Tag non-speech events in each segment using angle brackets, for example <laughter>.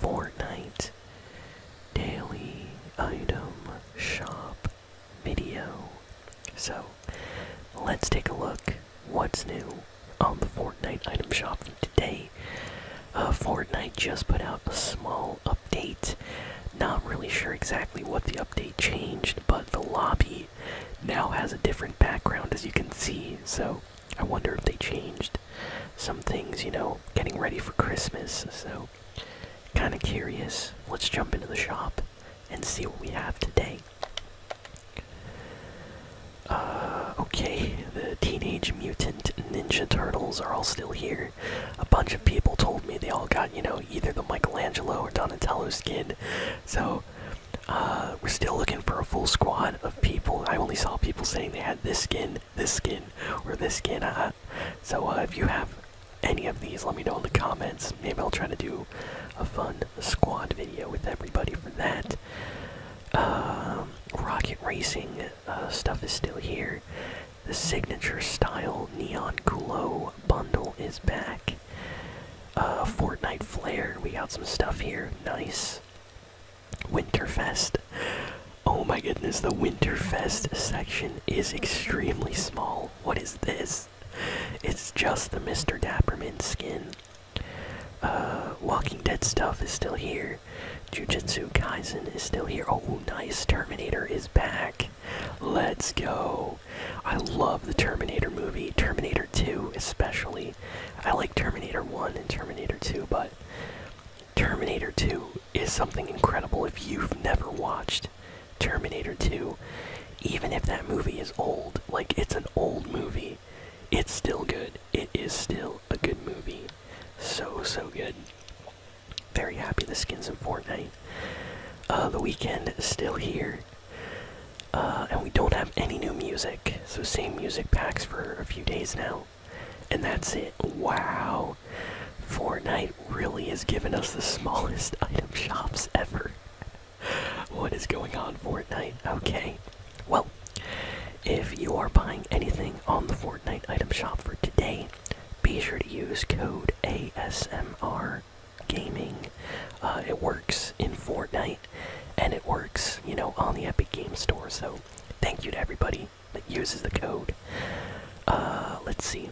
Fortnite daily item shop video. So let's take a look what's new on the Fortnite item shop for today. Uh, Fortnite just put out a small update. Not really sure exactly what the update changed, but the lobby now has a different background as you can see. So I wonder if they changed some things, you know, getting ready for Christmas. So, kind of curious. Let's jump into the shop and see what we have today. Uh, okay, the Teenage Mutant Ninja Turtles are all still here. A bunch of people told me they all got, you know, either the Michelangelo or Donatello skin. So, uh, we're still looking for a full squad of people. I only saw people saying they had this skin, this skin, or this skin. Uh, uh, so if you have any of these, let me know in the comments. Maybe I'll try to do a fun squad video with everybody for that. Um, rocket racing stuff is still here. The signature style neon glow bundle is back. Fortnite flare. We got some stuff here. Nice. Winterfest. Oh my goodness, the Winterfest section is extremely small. What is this? It's just the Mr. Dapperman skin. Uh, Walking Dead stuff is still here. Jujutsu Kaizen is still here. Oh, nice. Terminator is back. Let's go. I love the Terminator movie, Terminator 2 especially. I like Terminator 1 and Terminator 2, but Terminator 2 is something incredible if you've never watched Terminator 2. Even if that movie is old, like it's an old movie, it's still good. It is still a good movie. So, so good. Very happy the skin's of Fortnite. Uh, the weekend is still here. Uh, and we don't have any new music. So same music packs for a few days now. And that's it. Wow. Fortnite really has given us the <laughs> smallest item shops ever. what is going on, Fortnite? Okay. Well, if you are buying anything on the Fortnite item shop for today, be sure to use code ASMR Gaming. Uh, it works in Fortnite, and it works, you know, on the Epic Game Store. So, thank you to everybody that uses the code. Uh, let's see.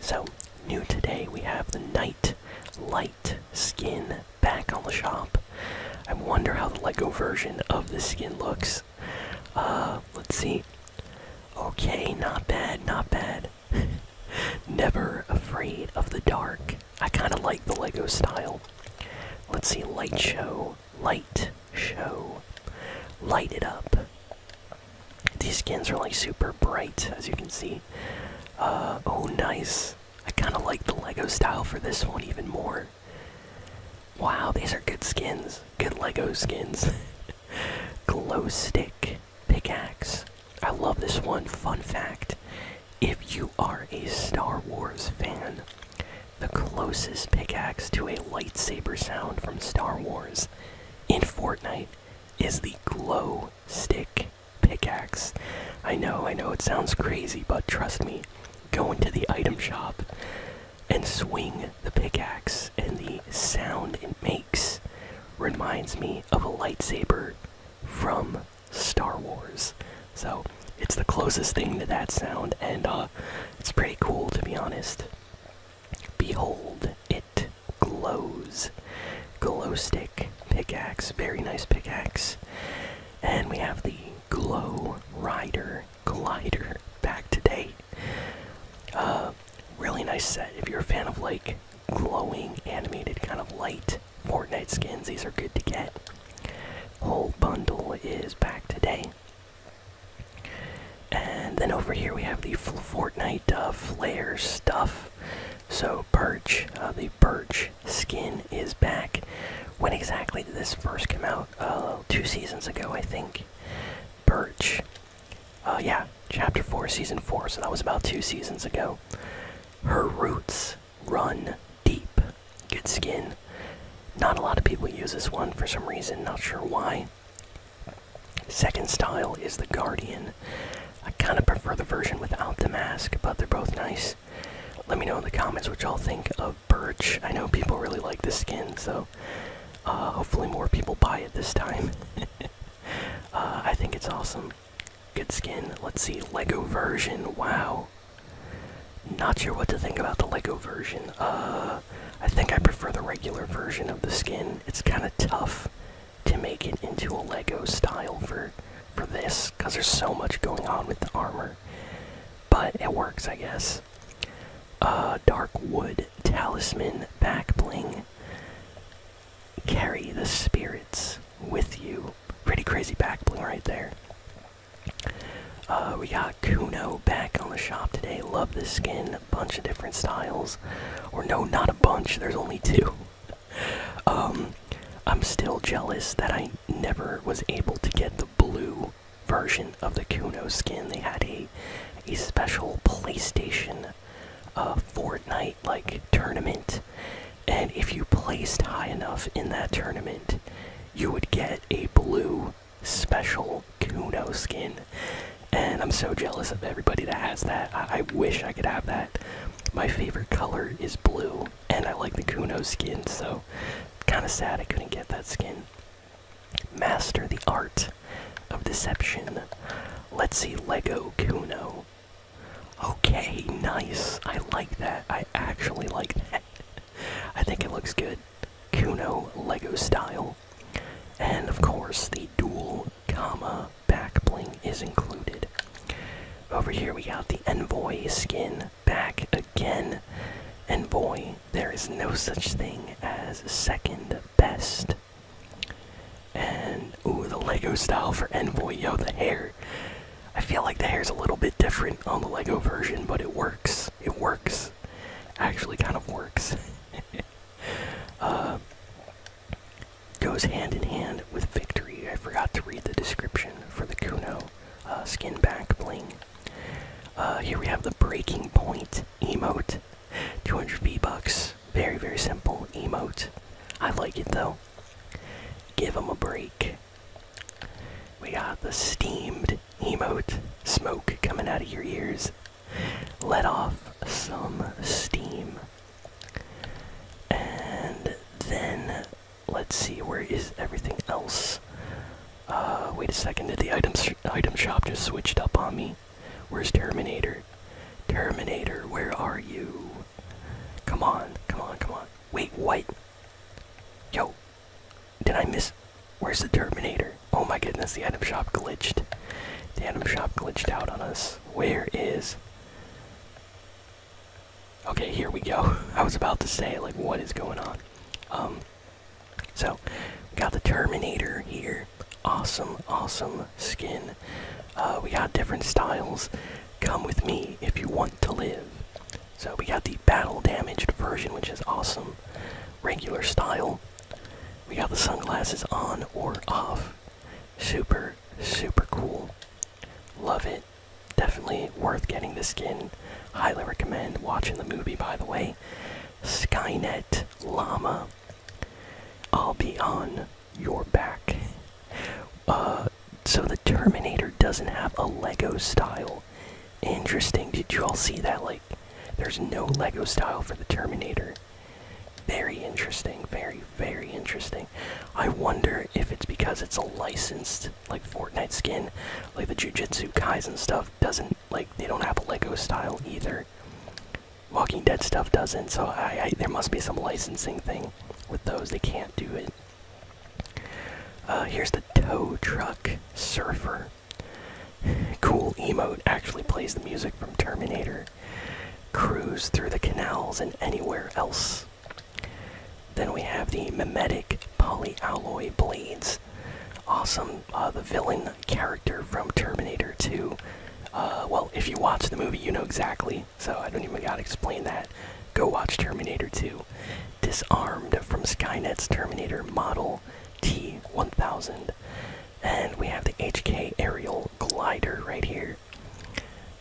So, new today, we have the Night Light skin back on the shop. I wonder how the Lego version of the skin looks. Uh, let's see. Okay, not bad, not bad. <laughs> Never afraid of the dark. I kind of like the Lego style. Let's see, light show, light show, light it up. These skins are like super bright, as you can see. Uh, oh, nice. I kind of like the Lego style for this one even more. Wow, these are good skins. Good Lego skins. <laughs> Glow stick pickaxe. I love this one. Fun fact if you are a Star Wars fan, the closest pickaxe to a lightsaber sound from Star Wars in Fortnite is the glow stick pickaxe. I know, I know it sounds crazy, but trust me, go into the item shop and swing the pickaxe, and the sound it makes reminds me of a lightsaber from Star Wars. So it's the closest thing to that sound, and uh, it's pretty cool to be honest. Behold, it glows. Glow stick pickaxe, very nice pickaxe. And we have the Glow Rider glider back today. Uh, really nice set. If you're a fan of like glowing animated kind of light Fortnite skins, these are good to get. Whole bundle is back today. And then over here we have the Fortnite uh, stuff. So, Birch, uh, the Birch skin is back. When exactly did this first come out? Uh, two seasons ago, I think. Birch, Uh, yeah, Chapter 4, Season 4, so that was about two seasons ago. Her Roots Run deep. Good skin. Not a lot of people use this one for some reason, not sure why. Second style is the Guardian. I kind of prefer the version without the mask, but they're both nice. Let me know in the comments what y'all think of Birch. I know people really like the skin, so uh, hopefully more people buy it this time. <laughs> Uh, I think it's awesome. Good skin. Let's see, Lego version. Wow. Not sure what to think about the Lego version. Uh, I think I prefer the regular version of the skin. It's kind of tough to make it into a Lego style for for this because there's so much going on with the armor. But it works, I guess. Uh, dark wood talisman back bling. Carry the spirits with you. Pretty crazy back bling right there. Uh, we got Kuno back on the shop today. Love this skin. A bunch of different styles. Or no, not a bunch. There's only two. <laughs> um, I'm still jealous that I never was able to get the blue version of the Kuno skin. They had a a special PlayStation uh, Fortnite like tournament, and if you placed high enough in that tournament, you would get a blue special Kuno skin. And I'm so jealous of everybody that has that. I, wish I could have that. My favorite color is blue, and I like the Kuno skin, so kind of sad I couldn't get that skin. Master the art of deception. Let's see Lego Kuno. Okay, nice. I like that. I actually like that. I think it looks good. Kuno Lego style. And of course, the dual comma back bling is included. Over here, we got the Envoy skin back again. And boy, there is no such thing as second best. And, ooh, the Lego style for Envoy. Yo, the hair. I feel like the hair is a little bit different on the Lego version, but it works. It works. Actually, kind of works. <laughs> Uh, goes hand in hand with victory. I forgot to read the description for the Kuno uh, skin back bling. Uh, here we have the breaking point emote. 200 V bucks. Very, very simple emote. I like it though. Give him a break. We got the steamed emote smoke coming out of your ears. Let off some steam. And then let's see where is everything else. Uh, wait a second. Did the item item shop just switched up on me? Where's Terminator? Terminator, where are you? Come on, come on, come on. Wait, Wait! Yo, did I miss? Where's the Terminator? Oh my goodness, the item shop glitched. The item shop glitched out on us. Where is. Okay, here we go. <laughs> I was about to say, like, what is going on? Um, so, got the Terminator here. Awesome, awesome skin. Uh, we got different styles. Come with me if you want to live. So we got the battle damaged version, which is awesome. Regular style. We got the sunglasses on or off. Super, super cool. Love it. Definitely worth getting the skin. Highly recommend watching the movie, by the way. Skynet Llama. I'll be on your back. Uh, so the Terminator doesn't have a Lego style. Interesting. Did you all see that? Like, there's no Lego style for the Terminator. Very interesting. Very, very interesting. I wonder if it's because it's a licensed, like, Fortnite skin. Like, the Jujutsu Kaisen stuff doesn't, like, they don't have a Lego style either. Walking Dead stuff doesn't, so I, I there must be some licensing thing with those. They can't do it. Uh, here's the tow truck surfer. Cool emote actually plays the music from Terminator. Cruise through the canals and anywhere else. Then we have the mimetic polyalloy blades. Awesome. Uh, the villain character from Terminator 2. Uh, well, if you watch the movie, you know exactly. So I don't even gotta explain that. Go watch Terminator 2 disarmed from Skynet's Terminator Model T1000. And we have the HK Aerial Glider right here.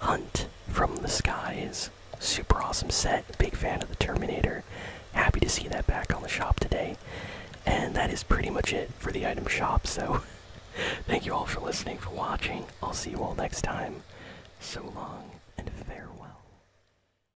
Hunt from the Skies. Super awesome set. Big fan of the Terminator. Happy to see that back on the shop today. And that is pretty much it for the item shop. So <laughs> thank you all for listening, for watching. I'll see you all next time. So long and farewell.